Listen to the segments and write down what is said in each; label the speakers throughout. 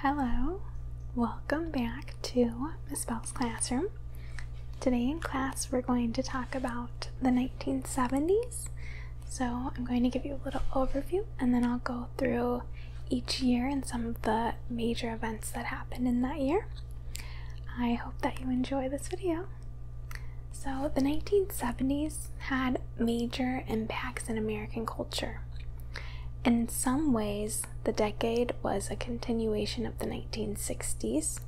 Speaker 1: Hello, welcome back to Miss Bell's classroom. Today in class we're going to talk about the 1970s. So I'm going to give you a little overview and then I'll go through each year and some of the major events that happened in that year. I hope that you enjoy this video. So the 1970s had major impacts in American culture. In some ways, the decade was a continuation of the 1960s.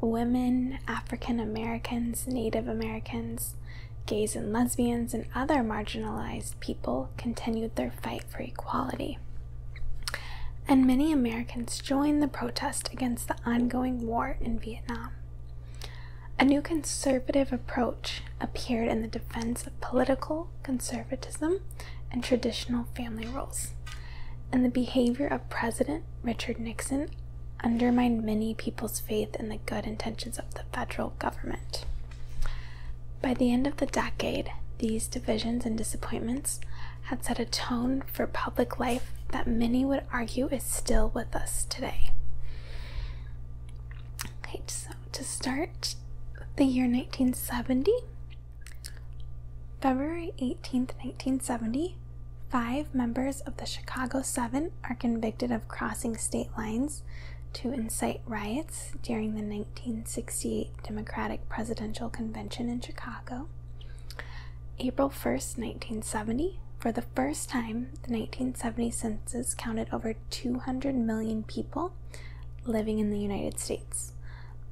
Speaker 1: Women, African Americans, Native Americans, gays and lesbians, and other marginalized people continued their fight for equality. And many Americans joined the protest against the ongoing war in Vietnam. A new conservative approach appeared in the defense of political conservatism and traditional family roles, and the behavior of President Richard Nixon undermined many people's faith in the good intentions of the federal government. By the end of the decade, these divisions and disappointments had set a tone for public life that many would argue is still with us today. Okay, so to start the year 1970. February 18, 1970, five members of the Chicago Seven are convicted of crossing state lines to incite riots during the 1968 Democratic Presidential Convention in Chicago. April 1, 1970, for the first time, the 1970 census counted over 200 million people living in the United States.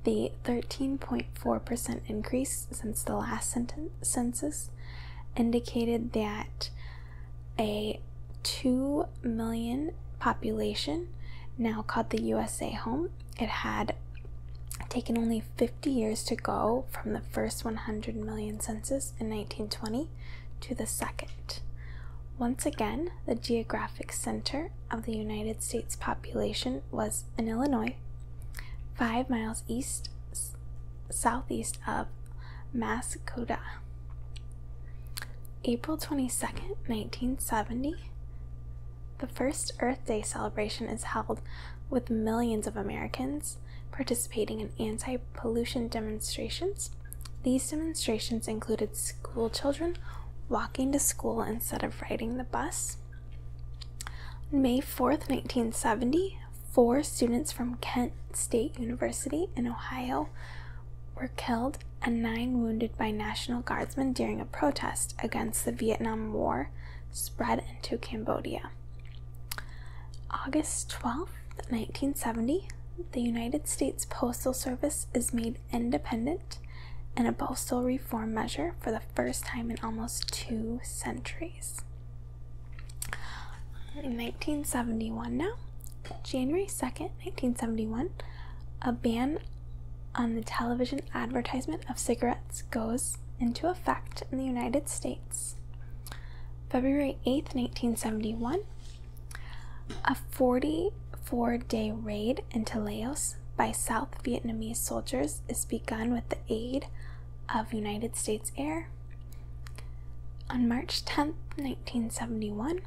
Speaker 1: The 13.4% increase since the last census indicated that a 2 million population now called the USA home. It had taken only 50 years to go from the first 100 million census in 1920 to the second. Once again, the geographic center of the United States population was in Illinois, five miles east southeast of Massacota. April 22nd, 1970, the first Earth Day celebration is held with millions of Americans participating in anti pollution demonstrations these demonstrations included school children walking to school instead of riding the bus. May 4th, 1970, four students from Kent State University in Ohio were killed and nine wounded by National Guardsmen during a protest against the Vietnam War spread into Cambodia. August 12th, 1970, the United States Postal Service is made independent and a postal reform measure for the first time in almost two centuries. In 1971, now, January 2nd, 1971, a ban on the television advertisement of cigarettes goes into effect in the United States. February 8th, 1971, a 44 day raid into Laos by South Vietnamese soldiers is begun with the aid of United States Air. On March 10, 1971,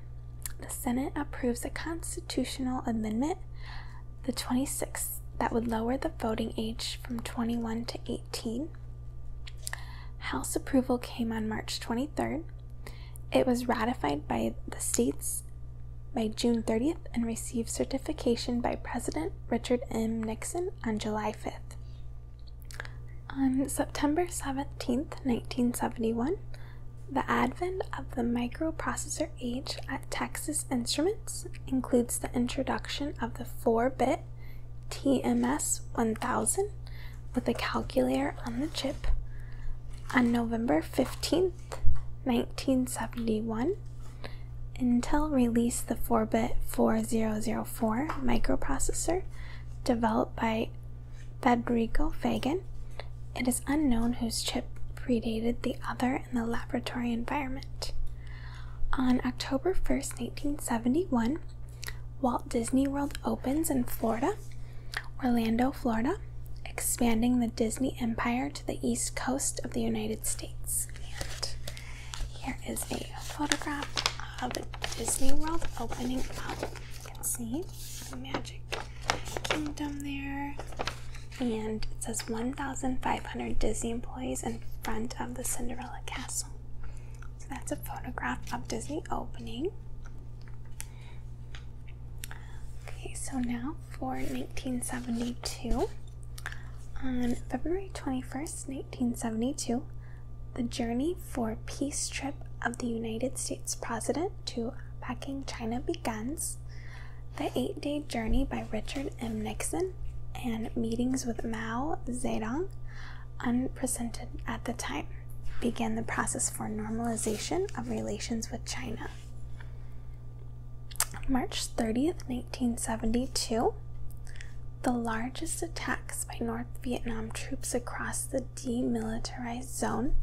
Speaker 1: the Senate approves a constitutional amendment, the 26th, that would lower the voting age from 21 to 18. House approval came on March 23rd. It was ratified by the states by June 30th and received certification by President Richard M. Nixon on July 5th. On September 17th, 1971, the advent of the microprocessor age at Texas Instruments includes the introduction of the 4 bit TMS 1000 with a calculator on the chip on November 15th, 1971. Intel released the 4 bit 4004 microprocessor developed by Federico Fagan. It is unknown whose chip predated the other in the laboratory environment. On October 1st, 1971, Walt Disney World opens in Florida, Orlando, Florida expanding the Disney empire to the east coast of the United States. And here is a photograph of Disney World opening up. You can see Magic Kingdom there. And it says 1,500 Disney employees in front of the Cinderella Castle. So that's a photograph of Disney opening. Okay, so now for 1972. On February 21st, 1972, the journey for peace trip of the United States President to Peking, China begins. The eight day journey by Richard M. Nixon and meetings with Mao Zedong, unprecedented at the time began the process for normalization of relations with China. March 30th, 1972, the largest attacks by North Vietnam troops across the demilitarized zone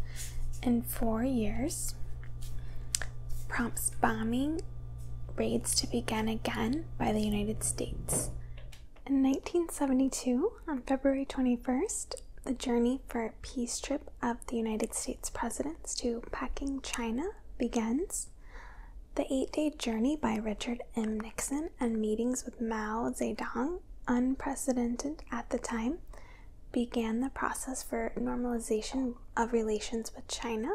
Speaker 1: in four years prompts bombing raids to begin again by the United States. In 1972, on February 21st, the journey for a peace trip of the United States presidents to Peking, China begins. The eight day journey by Richard M. Nixon and meetings with Mao Zedong, unprecedented at the time, began the process for normalization of relations with China.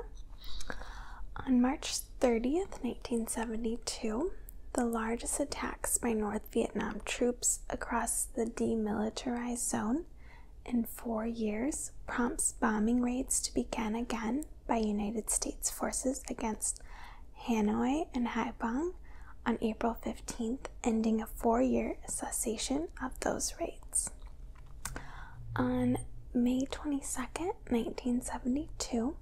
Speaker 1: On March 30th, 1972, the largest attacks by North Vietnam troops across the demilitarized zone in four years prompts bombing raids to begin again by United States forces against Hanoi and Haiphong on April 15, ending a four year cessation of those raids. On May 22, 1972,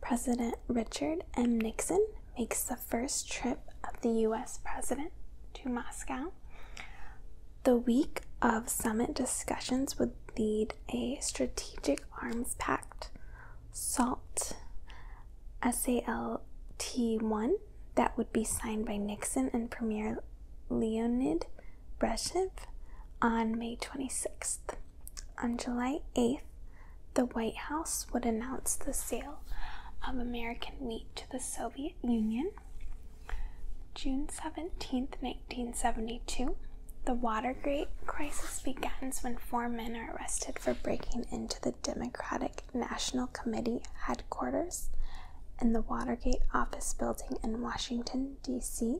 Speaker 1: President Richard M. Nixon makes the first trip of the US president to Moscow. The week of summit discussions would lead a strategic arms pact, SALT, SALT1, that would be signed by Nixon and Premier Leonid Brezhnev on May 26th. On July 8th, the White House would announce the sale of American wheat to the Soviet Union. June 17, 1972. The Watergate crisis begins when four men are arrested for breaking into the Democratic National Committee headquarters in the Watergate office building in Washington, D.C.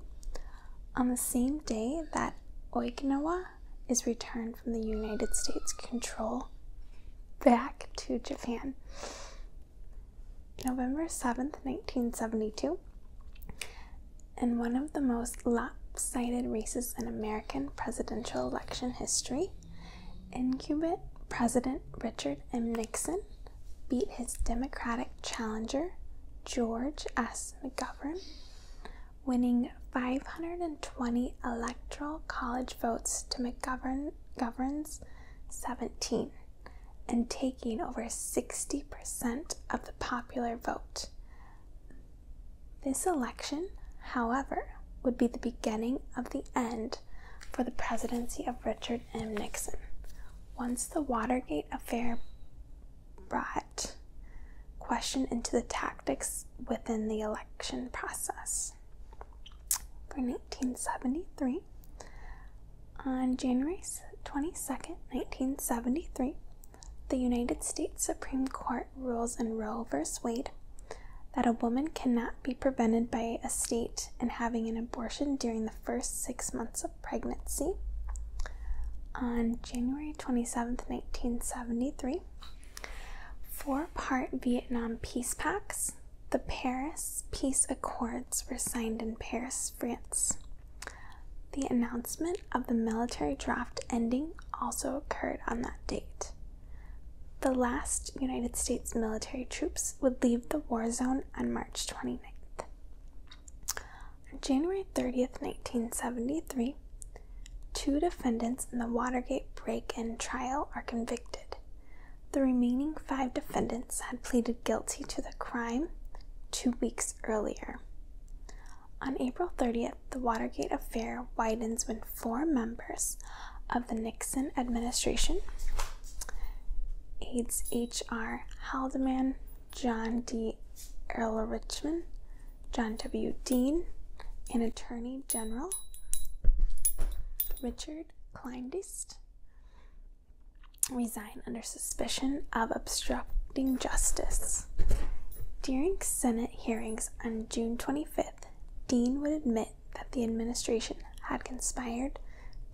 Speaker 1: on the same day that Okinawa is returned from the United States control back to Japan. November 7th, 1972, in one of the most lopsided races in American presidential election history, incumbent President Richard M. Nixon beat his Democratic challenger, George S. McGovern, winning 520 electoral college votes to McGovern's governs 17 and taking over 60% of the popular vote. This election, however, would be the beginning of the end for the presidency of Richard M. Nixon. Once the Watergate affair brought question into the tactics within the election process for 1973. On January 22nd, 1973, the United States Supreme Court rules in Roe v. Wade that a woman cannot be prevented by a state in having an abortion during the first six months of pregnancy. On January 27, 1973, four part Vietnam peace packs. The Paris Peace Accords were signed in Paris, France. The announcement of the military draft ending also occurred on that date. The last United States military troops would leave the war zone on March 29th. On January 30th, 1973, two defendants in the Watergate break in trial are convicted. The remaining five defendants had pleaded guilty to the crime two weeks earlier. On April 30th, the Watergate affair widens when four members of the Nixon administration aides H.R. Haldeman, John D. Earl Richmond, John W. Dean, and Attorney General Richard Richard Kleindienst resign under suspicion of obstructing justice. During Senate hearings on June 25th, Dean would admit that the administration had conspired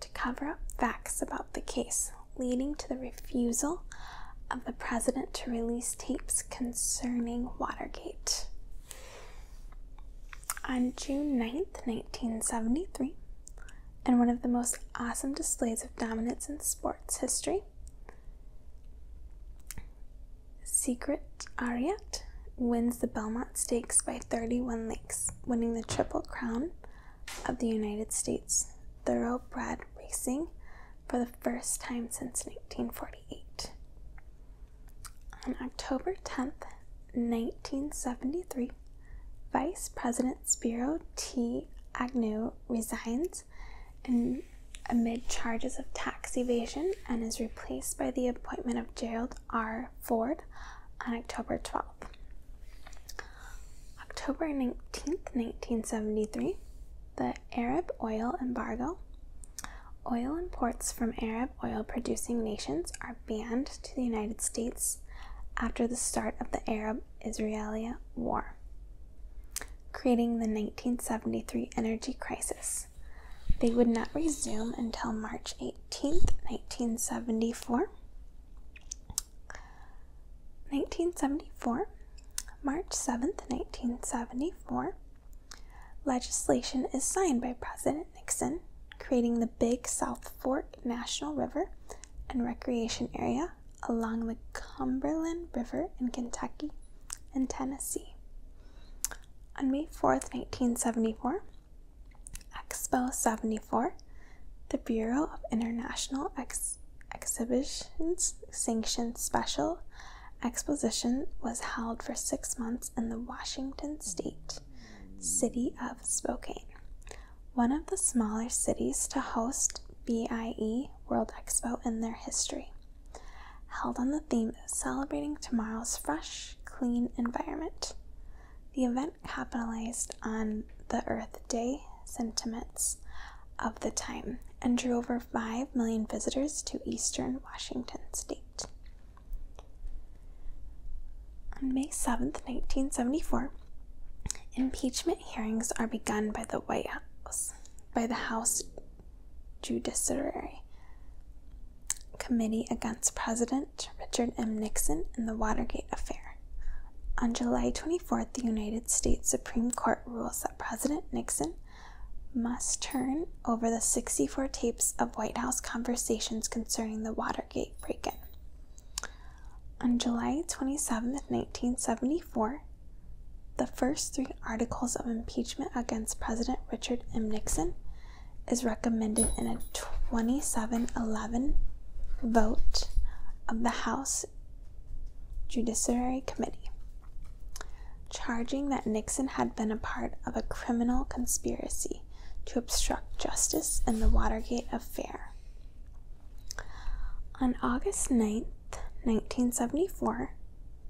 Speaker 1: to cover up facts about the case, leading to the refusal of the president to release tapes concerning Watergate. On June 9th, 1973, in one of the most awesome displays of dominance in sports history, Secret Ariat wins the Belmont Stakes by 31 lengths, winning the Triple Crown of the United States thoroughbred racing for the first time since 1948. On October 10th, 1973, Vice President Spiro T. Agnew resigns amid charges of tax evasion and is replaced by the appointment of Gerald R. Ford on October 12th. October 19, 1973, the Arab oil embargo Oil imports from Arab oil producing nations are banned to the United States after the start of the Arab Israeli War, creating the 1973 energy crisis. They would not resume until March 18, 1974. 1974, March 7, 1974, legislation is signed by President Nixon, creating the Big South Fork National River and Recreation Area along the Cumberland River in Kentucky and Tennessee. On May 4, 1974, Expo 74, the Bureau of International Exhibitions Sanctioned Special Exposition was held for six months in the Washington state city of Spokane, one of the smaller cities to host BIE World Expo in their history. Held on the theme of celebrating tomorrow's fresh, clean environment. The event capitalized on the Earth Day sentiments of the time and drew over 5 million visitors to eastern Washington state. On May seventh, 1974, impeachment hearings are begun by the White House, by the House Judiciary Committee against President Richard M. Nixon in the Watergate affair. On July 24th, the United States Supreme Court rules that President Nixon must turn over the 64 tapes of White House conversations concerning the Watergate. Watergate break in. On July 27, 1974, the first three articles of impeachment against President Richard M. Nixon is recommended in a 27 11 vote of the House Judiciary Committee, charging that Nixon had been a part of a criminal conspiracy to obstruct justice in the Watergate affair. On August 9, 1974,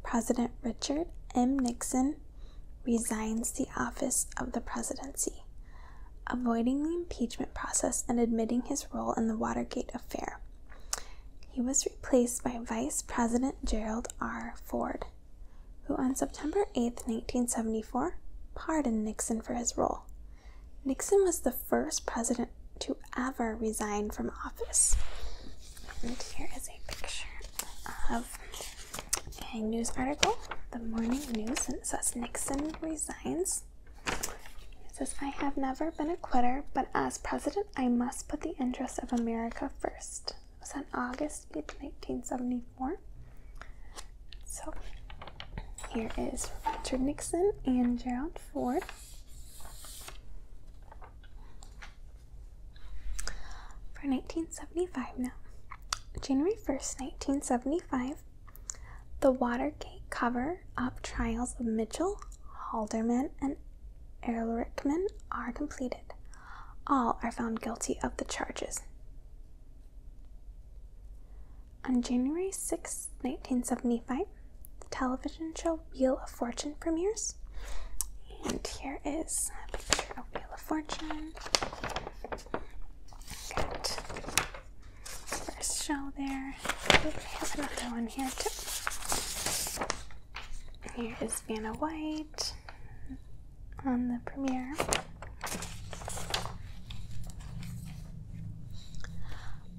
Speaker 1: President Richard M. Nixon resigns the office of the presidency, avoiding the impeachment process and admitting his role in the Watergate affair. He was replaced by Vice President Gerald R. Ford who on September eighth, nineteen 1974, pardoned Nixon for his role. Nixon was the first president to ever resign from office. And here is a picture of a news article, the morning news, and says Nixon resigns. It says, I have never been a quitter, but as president, I must put the interests of America first. It was on August eighth, 1974 more. So here is Richard Nixon and Gerald Ford. For 1975 now. January 1st, 1975, the Watergate cover up trials of Mitchell, Haldeman, and Ehrlichman are completed. All are found guilty of the charges. On January sixth, 1975, the television show Wheel of Fortune premieres. And here is a picture of Wheel of Fortune. first show there. Ooh, have another one here too. Here is Vanna White on the premiere.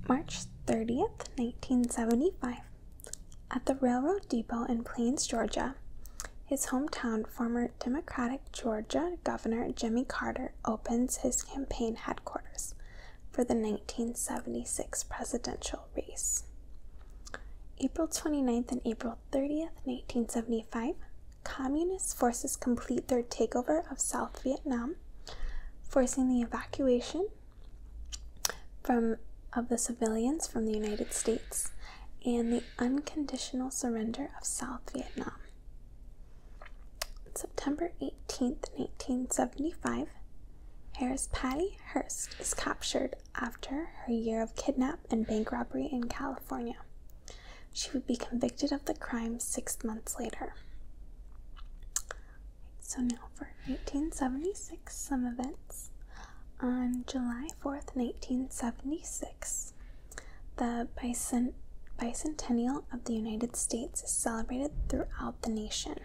Speaker 1: March 30th, 1975. At the railroad depot in Plains, Georgia, his hometown, former Democratic Georgia Governor Jimmy Carter opens his campaign headquarters for the 1976 presidential race. April 29th and April 30th, 1975, Communist forces complete their takeover of South Vietnam, forcing the evacuation from of the civilians from the United States and the unconditional surrender of South Vietnam. September 18, 1975, Harris Patty Hurst is captured after her year of kidnap and bank robbery in California. She would be convicted of the crime six months later. So now for 1876, some events. On July 4th, 1876, the bicentennial of the United States is celebrated throughout the nation.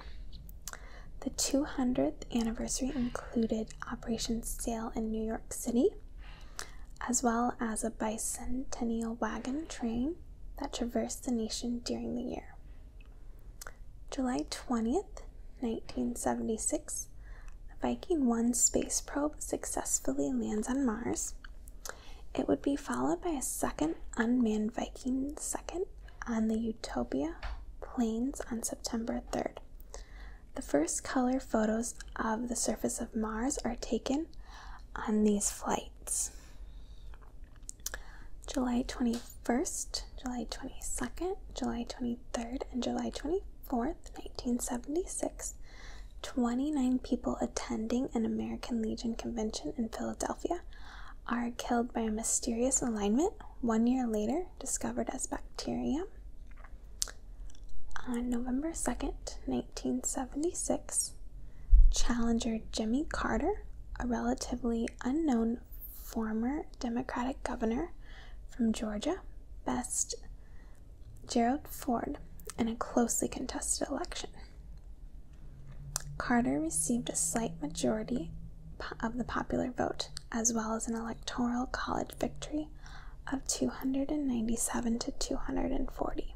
Speaker 1: The 200th anniversary included Operation Sail in New York City, as well as a bicentennial wagon train that traversed the nation during the year. July 20th, 1976, the Viking 1 space probe successfully lands on Mars. It would be followed by a second unmanned Viking 2nd on the Utopia plains on September 3rd. The first color photos of the surface of Mars are taken on these flights. July 21st, July 22nd, July 23rd, and July 24th, 1976, 29 people attending an American Legion convention in Philadelphia are killed by a mysterious alignment one year later discovered as bacteria. On November 2nd, in 1976, challenger Jimmy Carter, a relatively unknown former Democratic governor from Georgia, best Gerald Ford in a closely contested election. Carter received a slight majority of the popular vote, as well as an electoral college victory of 297 to 240.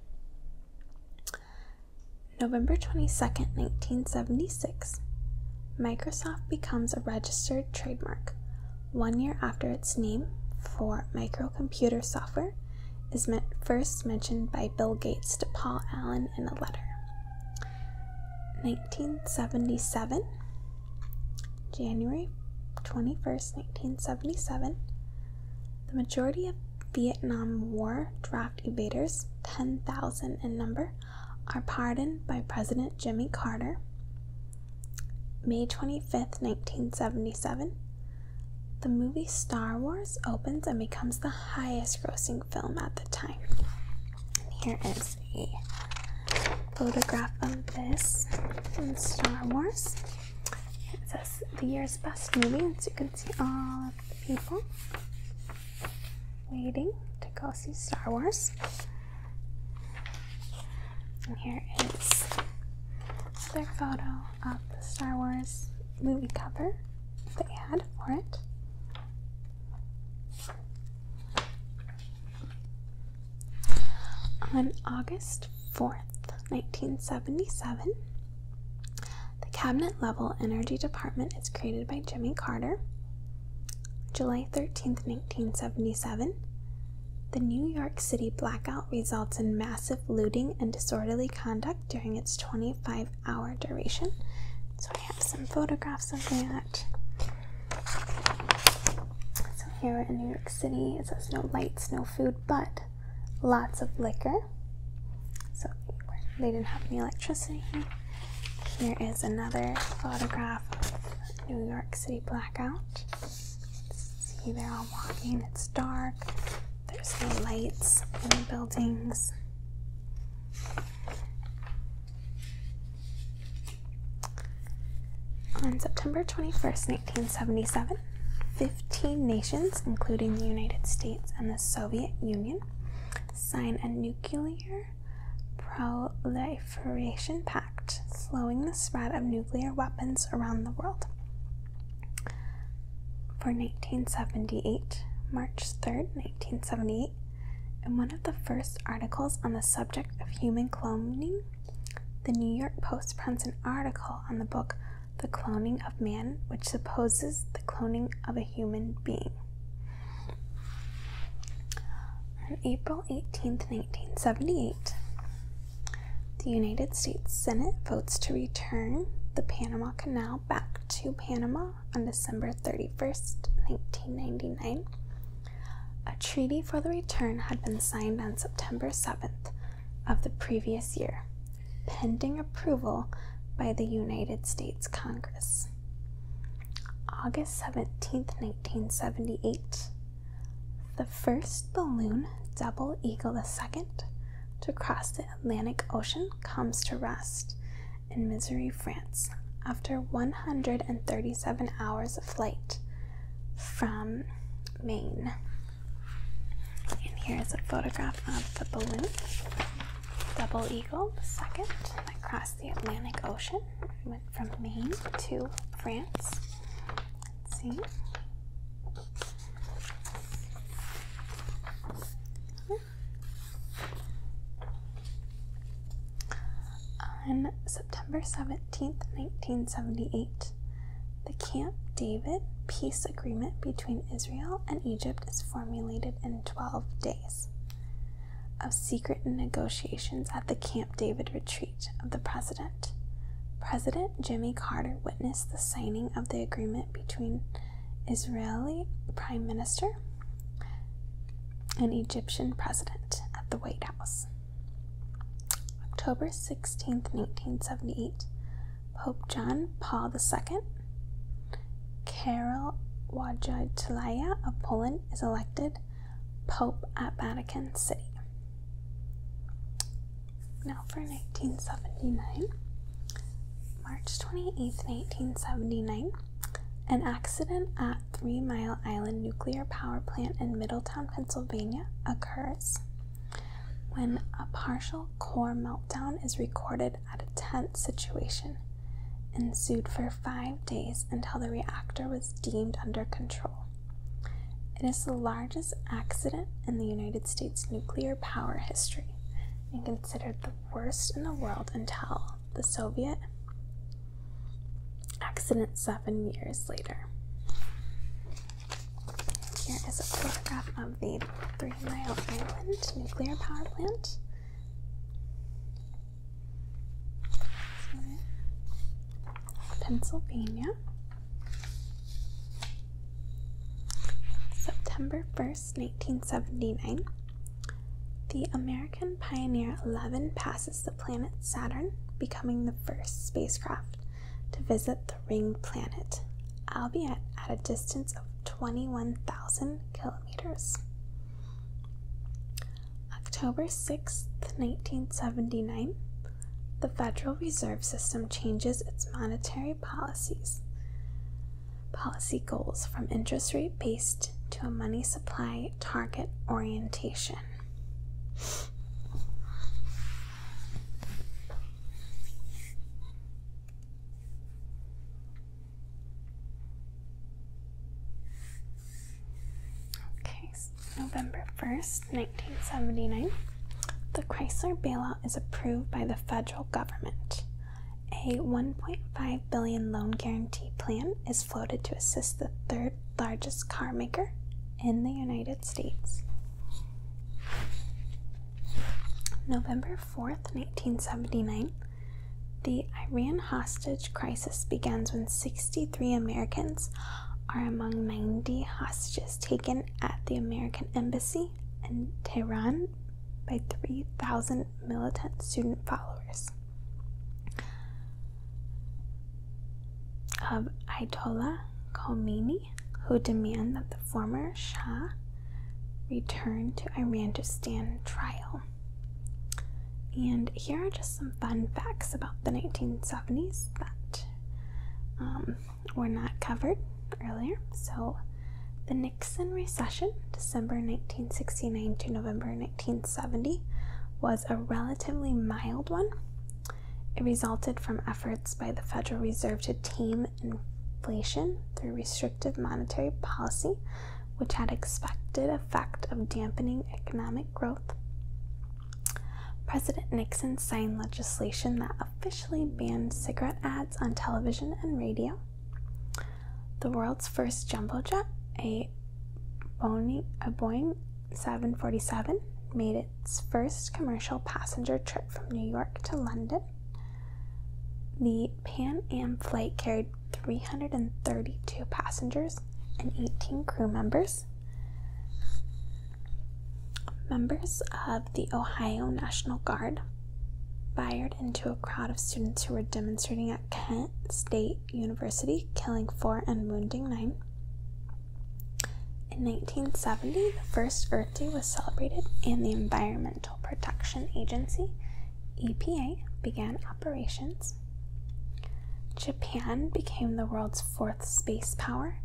Speaker 1: November 22, 1976, Microsoft becomes a registered trademark one year after its name for microcomputer software is first mentioned by Bill Gates to Paul Allen in a letter. 1977, January 21st, 1977, the majority of Vietnam War draft evaders, 10,000 in number, are pardoned by President Jimmy Carter. May twenty fifth, 1977, the movie Star Wars opens and becomes the highest grossing film at the time. And here is a photograph of this from Star Wars. It says the year's best movie, and so you can see all of the people waiting to go see Star Wars. And here is their photo of the Star Wars movie cover that they had for it. On August 4th, 1977. The cabinet level energy department is created by Jimmy Carter. July 13, 1977. The New York City blackout results in massive looting and disorderly conduct during its 25 hour duration. So I have some photographs of that. So here in New York City, it says no lights, no food, but lots of liquor. So they didn't have any electricity Here is another photograph of New York City blackout. See, they're all walking. It's dark. There's no lights in the buildings. On September 21st, in 1977, 15 nations, including the United States and the Soviet Union, sign a nuclear proliferation pact, slowing the spread of nuclear weapons around the world. For 1978, March 3, 1978, in one of the first articles on the subject of human cloning, the New York Post prints an article on the book the cloning of man, which supposes the cloning of a human being. On April 18, 1978, the United States Senate votes to return the Panama Canal back to Panama on December 31, 1999. A treaty for the return had been signed on September 7th, of the previous year, pending approval by the United States Congress. August seventeenth, 1978, the first balloon, Double Eagle II, to cross the Atlantic Ocean comes to rest in Missouri, France, after 137 hours of flight from Maine. And here is a photograph of the balloon, Double Eagle the second that crossed the Atlantic Ocean. It went from Maine to France. Let's see. On September 17th, 1978, the Camp David peace agreement between Israel and Egypt is formulated in 12 days of secret negotiations at the Camp David retreat of the president. President Jimmy Carter witnessed the signing of the agreement between Israeli Prime Minister and Egyptian President at the White House. October sixteenth, 1978, Pope John Paul II. Karol Wojtyla of Poland is elected Pope at Vatican City. Now for 1979. March 28, 1979, an accident at Three Mile Island Nuclear Power Plant in Middletown, Pennsylvania occurs. When a partial core meltdown is recorded at a tense situation, ensued for five days until the reactor was deemed under control. It is the largest accident in the United States nuclear power history and considered the worst in the world until the Soviet accident seven years later. Here is a photograph of the Three Mile Island nuclear power plant. Pennsylvania. September 1st, 1979. The American Pioneer 11 passes the planet Saturn, becoming the first spacecraft to visit the ring planet, albeit at a distance of 21,000 kilometers. October 6, 1979, the Federal Reserve System changes its monetary policies policy goals from interest rate based to a money supply target orientation. Okay, November 1st, 1979. The Chrysler bailout is approved by the federal government. A 1.5 billion loan guarantee plan is floated to assist the third largest carmaker in the United States. November 4th, 1979, the Iran hostage crisis begins when 63 Americans are among 90 hostages taken at the American Embassy in Tehran by 3,000 militant student followers of Ayatollah Khomeini who demand that the former Shah return to Iran to stand trial. And here are just some fun facts about the 1970s that um, were not covered earlier. So, the Nixon recession, December 1969 to November 1970, was a relatively mild one. It resulted from efforts by the Federal Reserve to tame inflation through restrictive monetary policy, which had expected effect of dampening economic growth. President Nixon signed legislation that officially banned cigarette ads on television and radio. The world's first jumbo jet, a Boeing, a Boeing 747, made its first commercial passenger trip from New York to London. The Pan Am flight carried 332 passengers and 18 crew members. Members of the Ohio National Guard fired into a crowd of students who were demonstrating at Kent State University, killing four and wounding nine. In 1970, the first Earth Day was celebrated and the environmental Protection Agency, EPA, began operations. Japan became the world's fourth space power.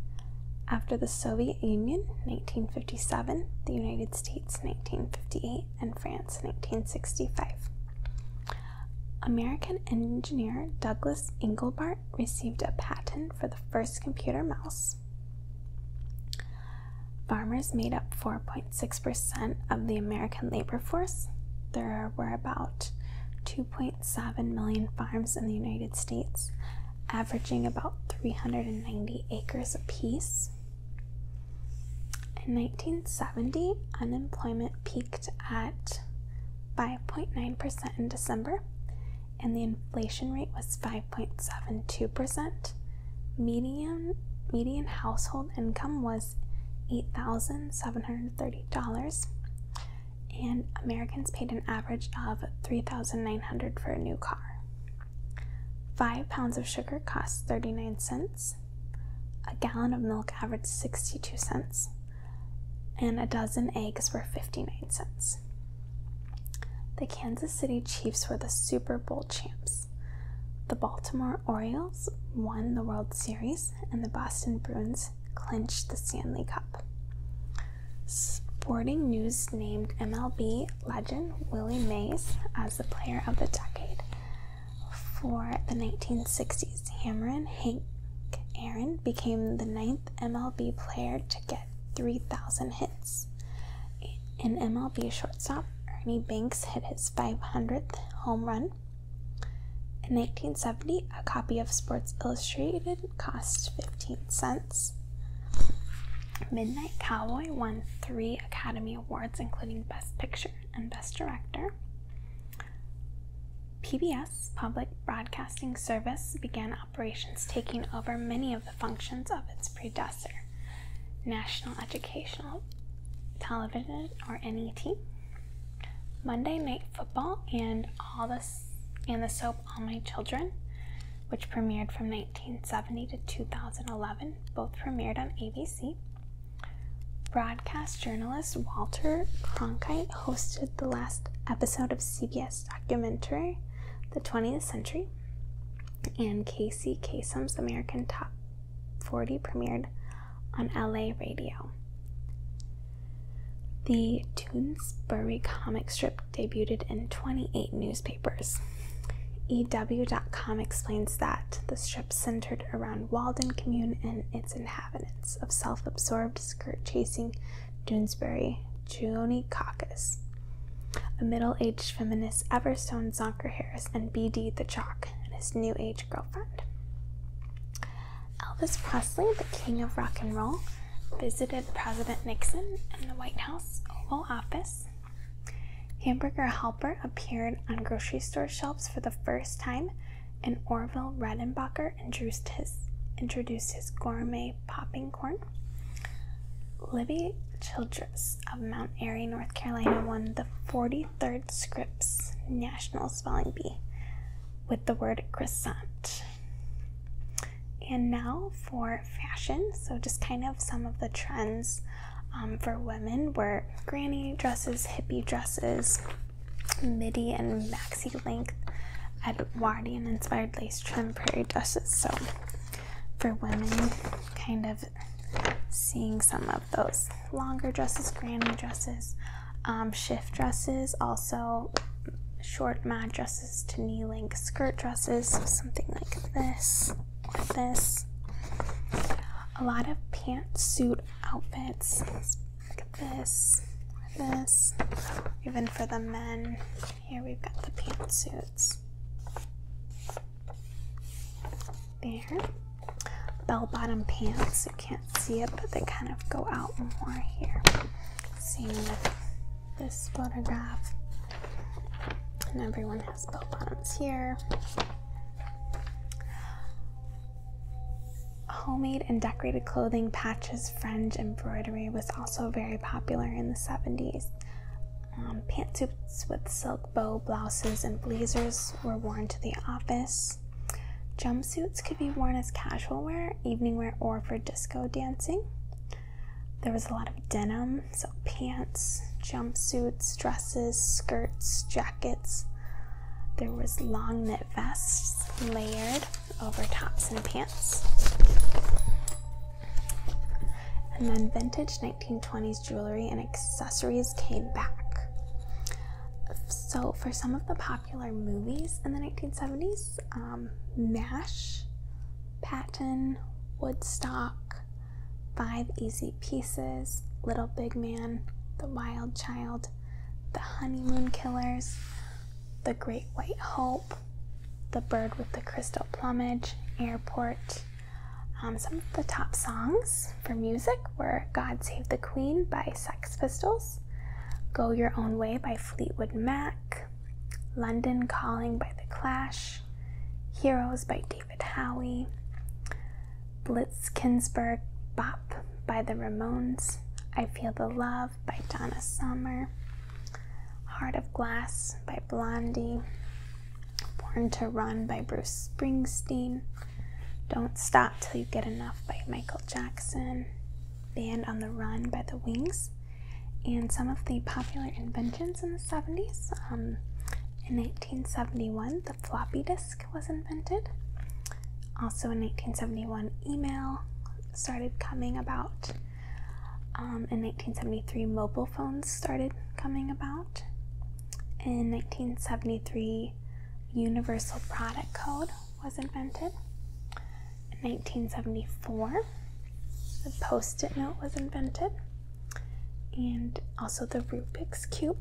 Speaker 1: After the Soviet Union, 1957, the United States, 1958, and France, 1965. American engineer Douglas Engelbart received a patent for the first computer mouse farmers. made up 4.6% of the American labor force. There were about 2.7 million farms in the United States, averaging about 390 acres apiece. In 1970, unemployment peaked at 5.9% in December and the inflation rate was 5.72%. Median median household income was $8,730 and Americans paid an average of 3,900 for a new car. 5 pounds of sugar cost 39 cents. A gallon of milk averaged 62 cents and a dozen eggs were 59 cents. The Kansas City Chiefs were the Super Bowl champs. The Baltimore Orioles won the World Series, and the Boston Bruins clinched the Stanley Cup. Sporting News named MLB legend Willie Mays as the player of the decade for the 1960s. Hammerin Hank Aaron became the ninth MLB player to get 3,000 hits. An MLB shortstop, Ernie Banks, hit his 500th home run. In 1970, a copy of Sports Illustrated cost 15 cents. Midnight Cowboy won three Academy Awards, including Best Picture and Best Director. PBS, Public Broadcasting Service, began operations taking over many of the functions of its predecessor, National Educational Television or NET, Monday Night Football, and all this and the soap All My Children, which premiered from 1970 to 2011, both premiered on ABC. Broadcast journalist Walter Cronkite hosted the last episode of CBS documentary The 20th Century and Casey Kasem's American Top 40 premiered on LA radio. The Toonsbury comic strip debuted in 28 newspapers. EW.com explains that the strip centered around Walden Commune and its inhabitants of self absorbed, skirt chasing Doonesbury Juni caucus. A middle aged feminist, Everstone Zonker Harris, and BD the Jock, and his new age girlfriend. Elvis Presley, the king of rock and roll, visited President Nixon in the White House Oval Office. Hamburger Helper appeared on grocery store shelves for the first time, and Orville Redenbacher introduced his gourmet popping corn. Libby Childress of Mount Airy, North Carolina, won the 43rd Scripps National Spelling Bee with the word "crescent." And now for fashion. So, just kind of some of the trends um, for women were granny dresses, hippie dresses, midi and maxi length, Edwardian inspired lace trim prairie dresses. So, for women, kind of seeing some of those longer dresses, granny dresses, um, shift dresses, also short mad dresses to knee length skirt dresses, something like this this. A lot of pantsuit outfits, like this this. Even for the men, here we've got the pantsuits. There. Bell bottom pants. You can't see it, but they kind of go out more here. Same with this photograph. And everyone has bell bottoms here. Homemade and decorated clothing, patches, fringe, embroidery was also very popular in the 70s. Um, pantsuits with silk bow blouses and blazers were worn to the office. Jumpsuits could be worn as casual wear, evening wear, or for disco dancing. There was a lot of denim, so pants, jumpsuits, dresses, skirts, jackets. There was long knit vests layered over tops and pants. And then vintage 1920s jewelry and accessories came back. So, for some of the popular movies in the 1970s, um, MASH, Patton, Woodstock, Five Easy Pieces, Little Big Man, The Wild Child, The Honeymoon Killers, The Great White Hope, The Bird with the Crystal Plumage, Airport, um, some of the top songs for music were God Save the Queen by Sex Pistols, Go Your Own Way by Fleetwood Mac, London Calling by The Clash, Heroes by David Howie, Blitzkinsberg Bop by The Ramones, I Feel the Love by Donna Summer, Heart of Glass by Blondie, Born to Run by Bruce Springsteen, Don't Stop Till You Get Enough by Michael Jackson, Band on the Run by The Wings, and some of the popular inventions in the 70s. Um, in 1971, the floppy disk was invented. Also in 1971, email started coming about. Um, in 1973, mobile phones started coming about. In 1973, Universal Product Code was invented. In 1974, the post it note was invented, and also the Rubik's Cube.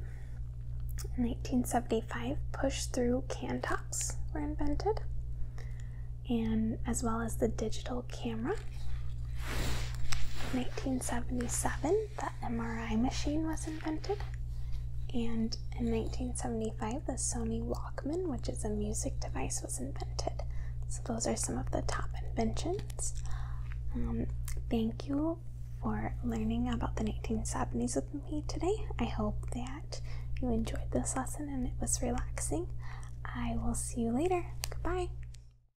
Speaker 1: In 1975, push through can tops were invented, and as well as the digital digital camera. 1977, the MRI machine was invented. And in 1975, the Sony Walkman, which is a music device, was invented. So, those are some of the top inventions. Um, thank you for learning about the 1970s with me today. I hope that you enjoyed this lesson and it was relaxing. I will see you later. Goodbye.